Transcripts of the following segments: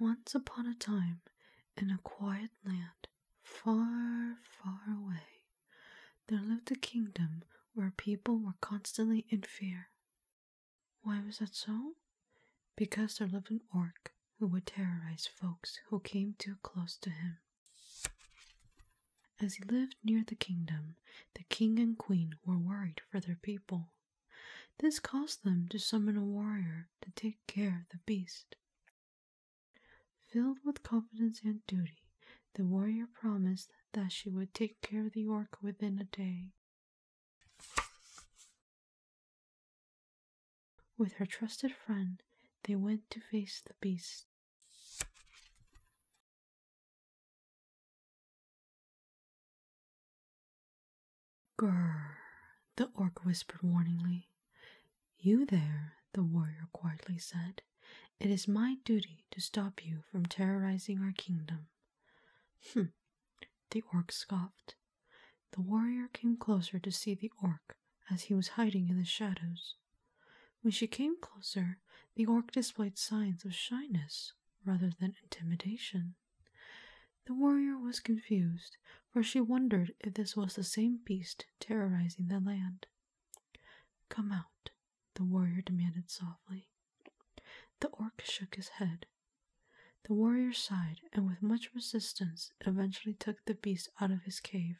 Once upon a time, in a quiet land, far, far away, there lived a kingdom where people were constantly in fear why was that so? Because there lived an orc who would terrorize folks who came too close to him. As he lived near the kingdom, the king and queen were worried for their people. This caused them to summon a warrior to take care of the beast. Filled with confidence and duty, the warrior promised that she would take care of the orc within a day. With her trusted friend, they went to face the beast. Grrr, the orc whispered warningly. You there, the warrior quietly said. It is my duty to stop you from terrorizing our kingdom. Hm, the orc scoffed. The warrior came closer to see the orc as he was hiding in the shadows. When she came closer, the orc displayed signs of shyness rather than intimidation. The warrior was confused, for she wondered if this was the same beast terrorizing the land. Come out, the warrior demanded softly. The orc shook his head. The warrior sighed and, with much resistance, eventually took the beast out of his cave.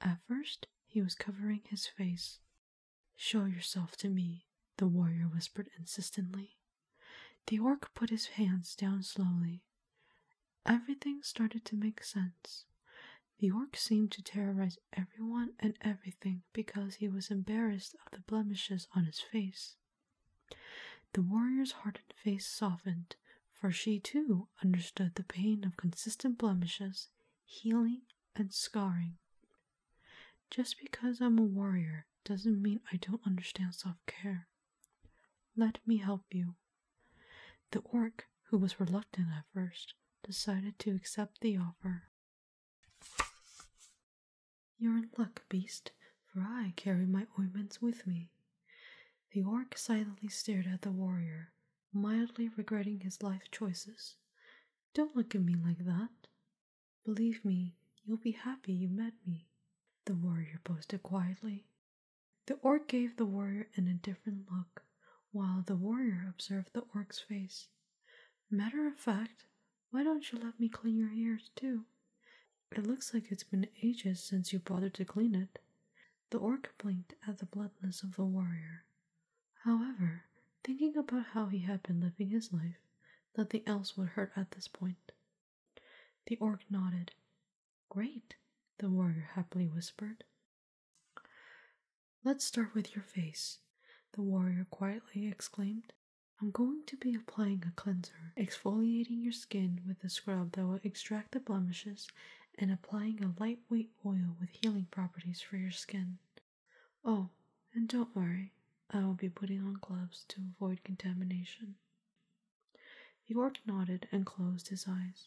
At first, he was covering his face. Show yourself to me, the warrior whispered insistently. The orc put his hands down slowly. Everything started to make sense. The orc seemed to terrorize recognized everyone and everything because he was embarrassed of the blemishes on his face. The warrior's hardened face softened, for she too understood the pain of consistent blemishes, healing, and scarring. Just because I'm a warrior doesn't mean I don't understand self care. Let me help you. The orc, who was reluctant at first, decided to accept the offer. You're in luck, beast, for I carry my ointments with me. The orc silently stared at the warrior, mildly regretting his life choices. Don't look at me like that. Believe me, you'll be happy you met me, the warrior boasted quietly. The orc gave the warrior an indifferent look, while the warrior observed the orc's face. Matter of fact, why don't you let me clean your ears too? It looks like it's been ages since you bothered to clean it. The orc blinked at the bloodless of the warrior. However, thinking about how he had been living his life, nothing else would hurt at this point. The orc nodded. Great, the warrior happily whispered. Let's start with your face, the warrior quietly exclaimed. I'm going to be applying a cleanser, exfoliating your skin with a scrub that will extract the blemishes, and applying a lightweight oil with healing properties for your skin. Oh, and don't worry, I will be putting on gloves to avoid contamination. The orc nodded and closed his eyes.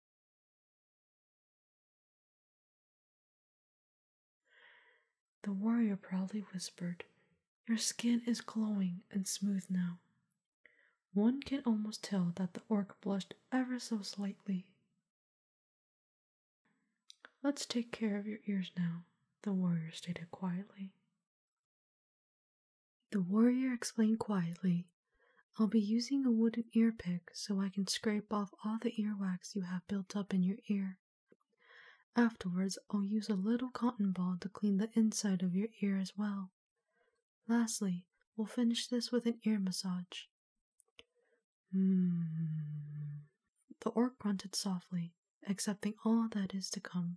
The warrior proudly whispered, Your skin is glowing and smooth now. One can almost tell that the orc blushed ever so slightly. Let's take care of your ears now, the warrior stated quietly. The warrior explained quietly, I'll be using a wooden earpick so I can scrape off all the earwax you have built up in your ear. Afterwards, I'll use a little cotton ball to clean the inside of your ear as well. Lastly, we'll finish this with an ear massage. Hmm. The orc grunted softly, accepting all that is to come.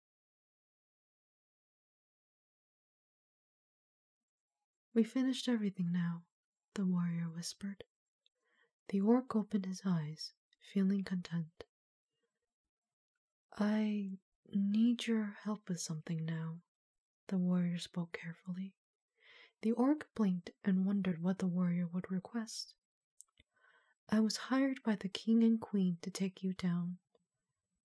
We finished everything now, the warrior whispered. The orc opened his eyes, feeling content. I need your help with something now, the warrior spoke carefully. The orc blinked and wondered what the warrior would request. I was hired by the king and queen to take you down.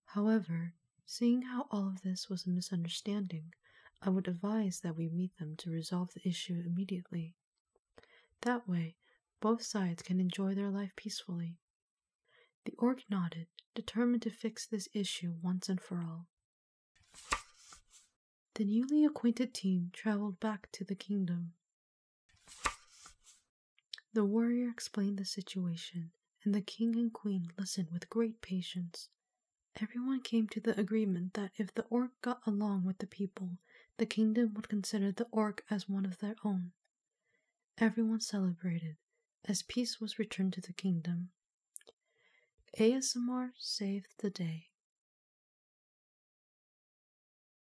However, seeing how all of this was a misunderstanding, I would advise that we meet them to resolve the issue immediately. That way, both sides can enjoy their life peacefully. The orc nodded, determined to fix this issue once and for all. The newly acquainted team traveled back to the kingdom the warrior explained the situation, and the king and queen listened with great patience. Everyone came to the agreement that if the orc got along with the people, the kingdom would consider the orc as one of their own. Everyone celebrated, as peace was returned to the kingdom. ASMR saved the day.